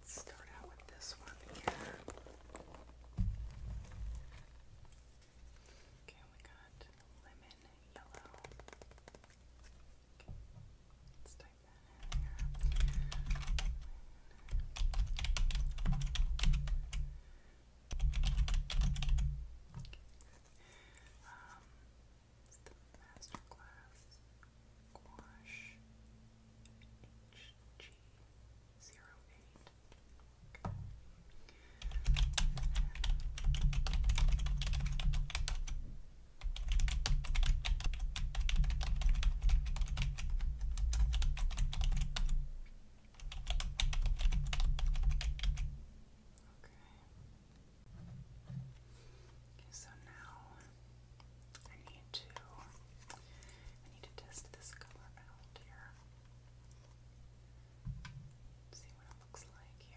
Let's start out with this one again. Okay, we got lemon yellow. Okay. Let's dive um, it's the Masterclass Gouache HG08. Okay. And then, Okay, so now I need to I need to test this color out here. See what it looks like here.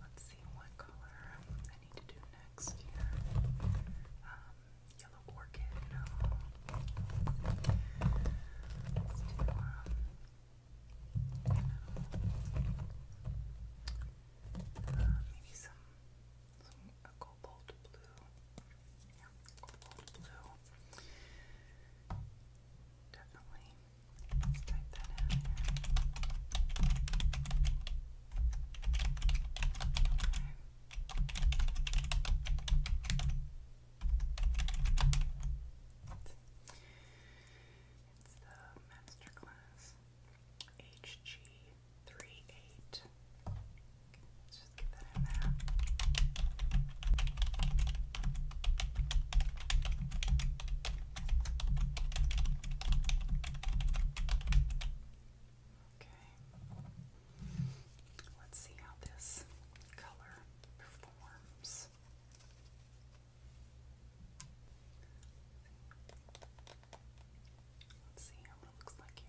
Let's see what color I need to do next here. Um, yellow orchid, no. Uh, maybe some, some a cobalt blue. Yeah, cobalt blue. Definitely. Let's type that in It's the master hg three eight. Okay. Let's see how this color performs. Let's see what it looks like here.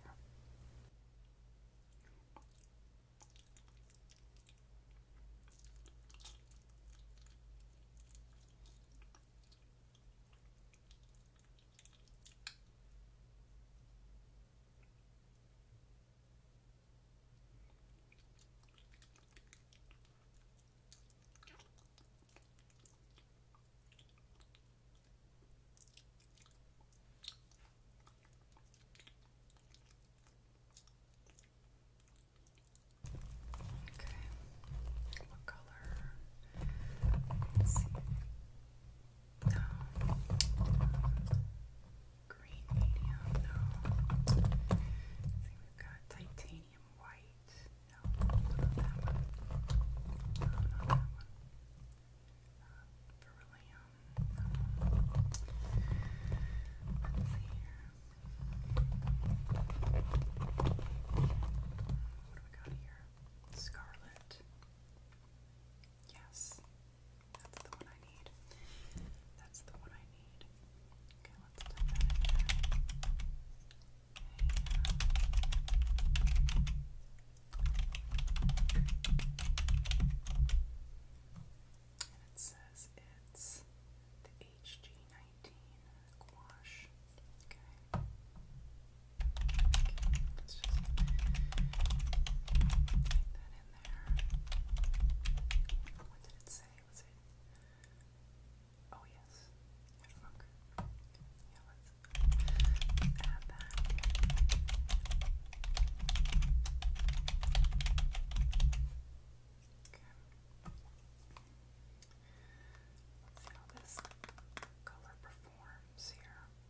Okay, what color? Let's see. No. Green medium, no. I think we've got titanium titanium white. No, not that one. not that one. Uh, Let's see here. What do we got here? Scarlet. Yes. That's the one I need. That's the one I need it says it's the HG19 gouache. Okay. let's just take that in there. What did it say? Was it? Oh yes. Fuck. Yeah, let's add that. Okay. Let's see how this color performs here. Okay.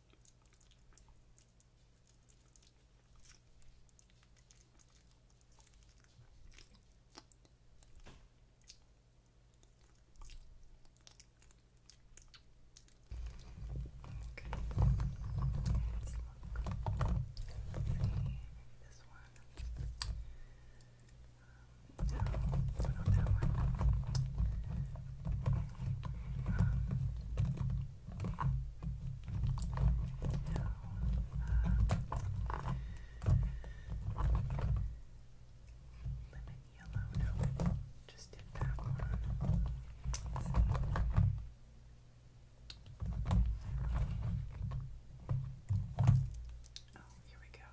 Okay. Let's look. Let's see. Maybe um, this one. Um, no, no, not that one. Um, Lemon yellow, no, just did that one. Oh, here we go.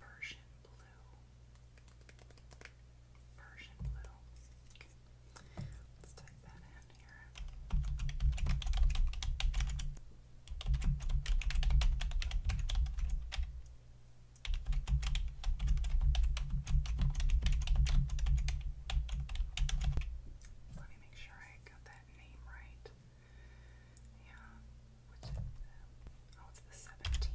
Persian blue. Persian blue. Let's type that in here. Let me make sure I got that name right. Yeah. What's oh, the 17. 17.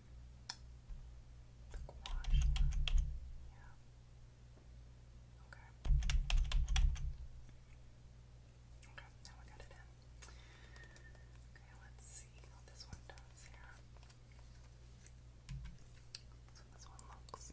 The gouache Okay. Okay, now I got it in. Okay, let's see what this one does here. So this one looks.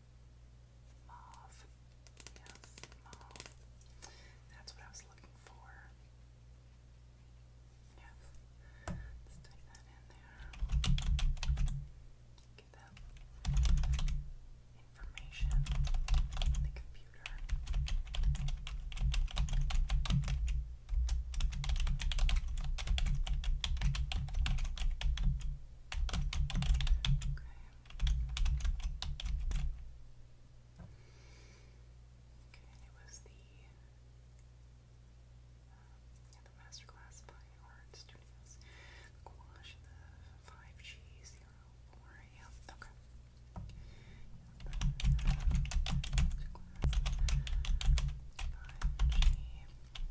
Mauve. Yes, mauve. That's what I was looking for. Yes. Let's stick that in there. Get that information in the computer. Okay. Okay, and it was the um, the masterclass by Art Studios. The five G zero four. Yeah, okay.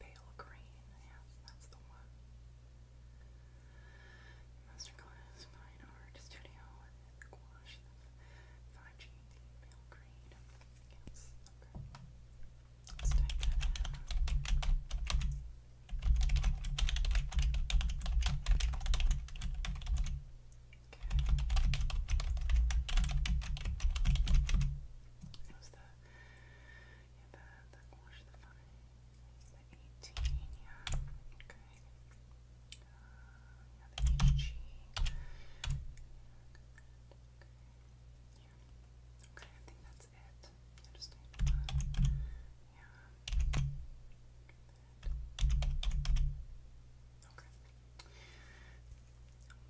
pale green. Yes, that's the one. Masterclass Fine Art Studio and 5G pale green. Yes, okay. Let's type that in. Okay. was the yeah, the, the wash the funny. The 18, yeah, okay. yeah, the HG. Yeah, yeah. Okay, I think that's it. yeah. Okay.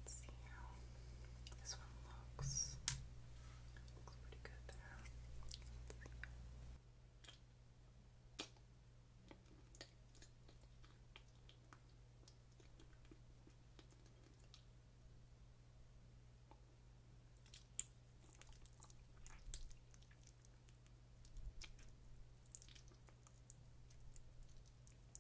Let's see how this one looks. Looks pretty good there.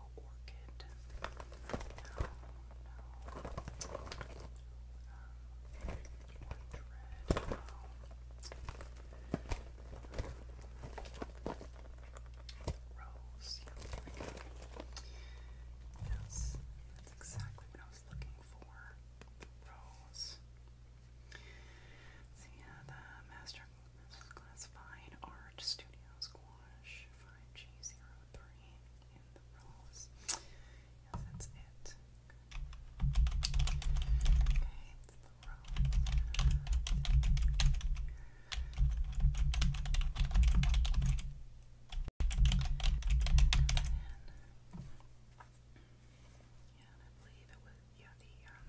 orchid. No, no. Um, orange red. No. Rose. Yeah, there we go. Yes, that's exactly what I was looking for. Rose. So yeah, the master this is Art Studio Squash 5G03 in the rose. Yes, that's it. Okay, it's the rose. Yeah, I believe it was yeah the um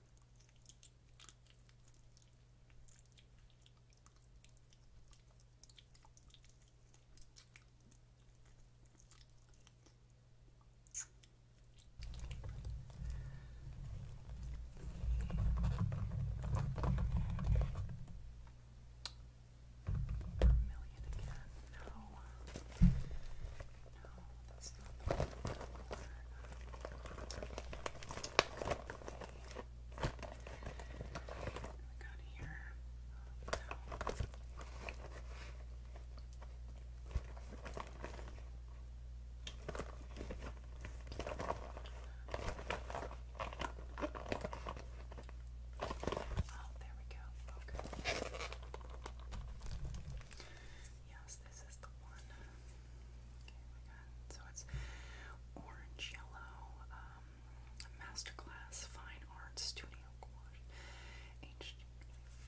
Million again. No. No, that's not the one. Good we got Oh, there we go. Okay. Yes, this is the one. Okay, so it's orange yellow, um, masterclass fine arts studio gouache, h Okay.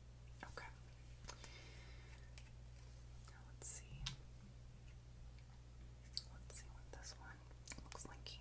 Okay. Now let's see. Let's see what this one looks like here.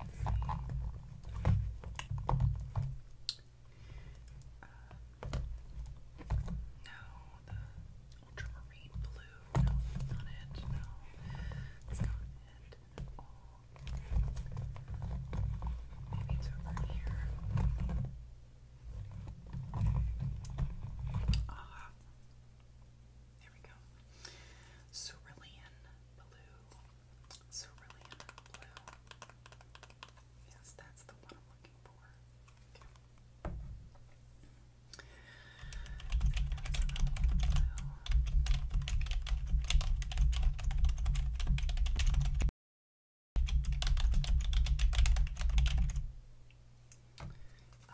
Um, no, the ultramarine blue. No, that's not it. No, that's not it Maybe it's over here. Ah, here we go. Cerulean blue. Cerulean blue. Yes, that's the one I'm looking for. Okay.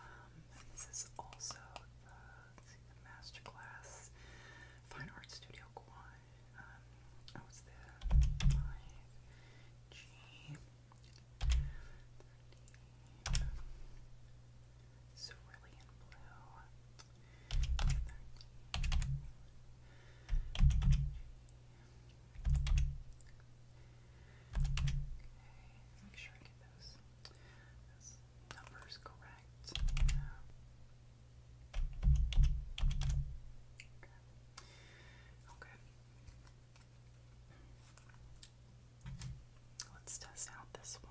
Um, this is also the let's Masterclass, Fine Art Studio Guan, um, oh, it's the 5G, Blue, make sure I get Those numbers correct. Okay. Okay. Let's test out this one.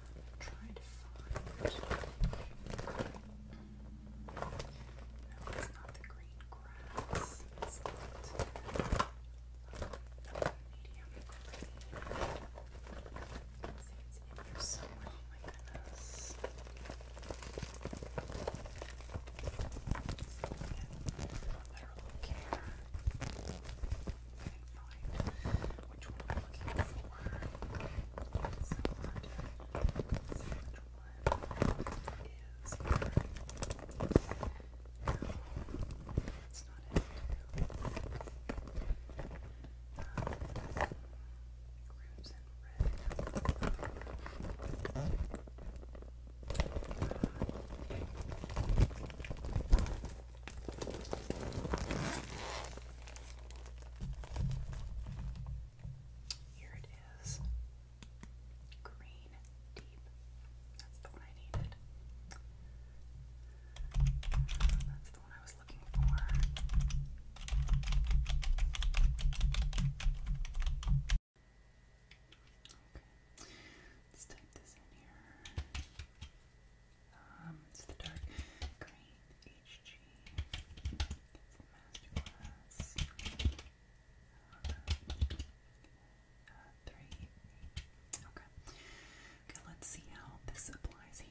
Trying to find. No, it's not the green grass. It's not Let's see if it's in here somewhere. Oh my goodness. Literal care couldn't which one I'm looking for. is here. No, that's not it. Um, Rooms red. Here it is. Green deep. That's the one I needed. That's the one I was looking for. Okay. Let's type this in here. Um, it's the dark green HG for Masterclass. Uh, three. Okay. Okay, let's see how this applies here.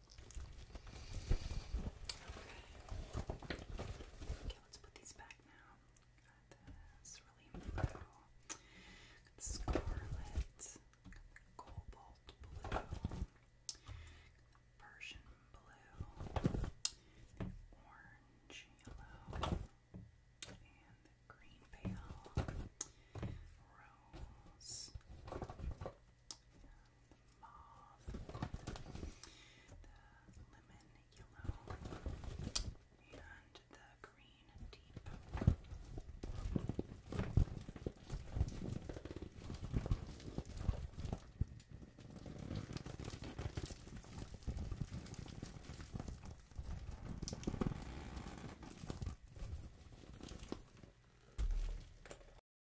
Okay. Okay, let's put these back now. Got this really purple. Got scarlet. cobalt blue. Persian blue. orange yellow. And green pale. Rose the mauve, the lemon yellow, and the green deep.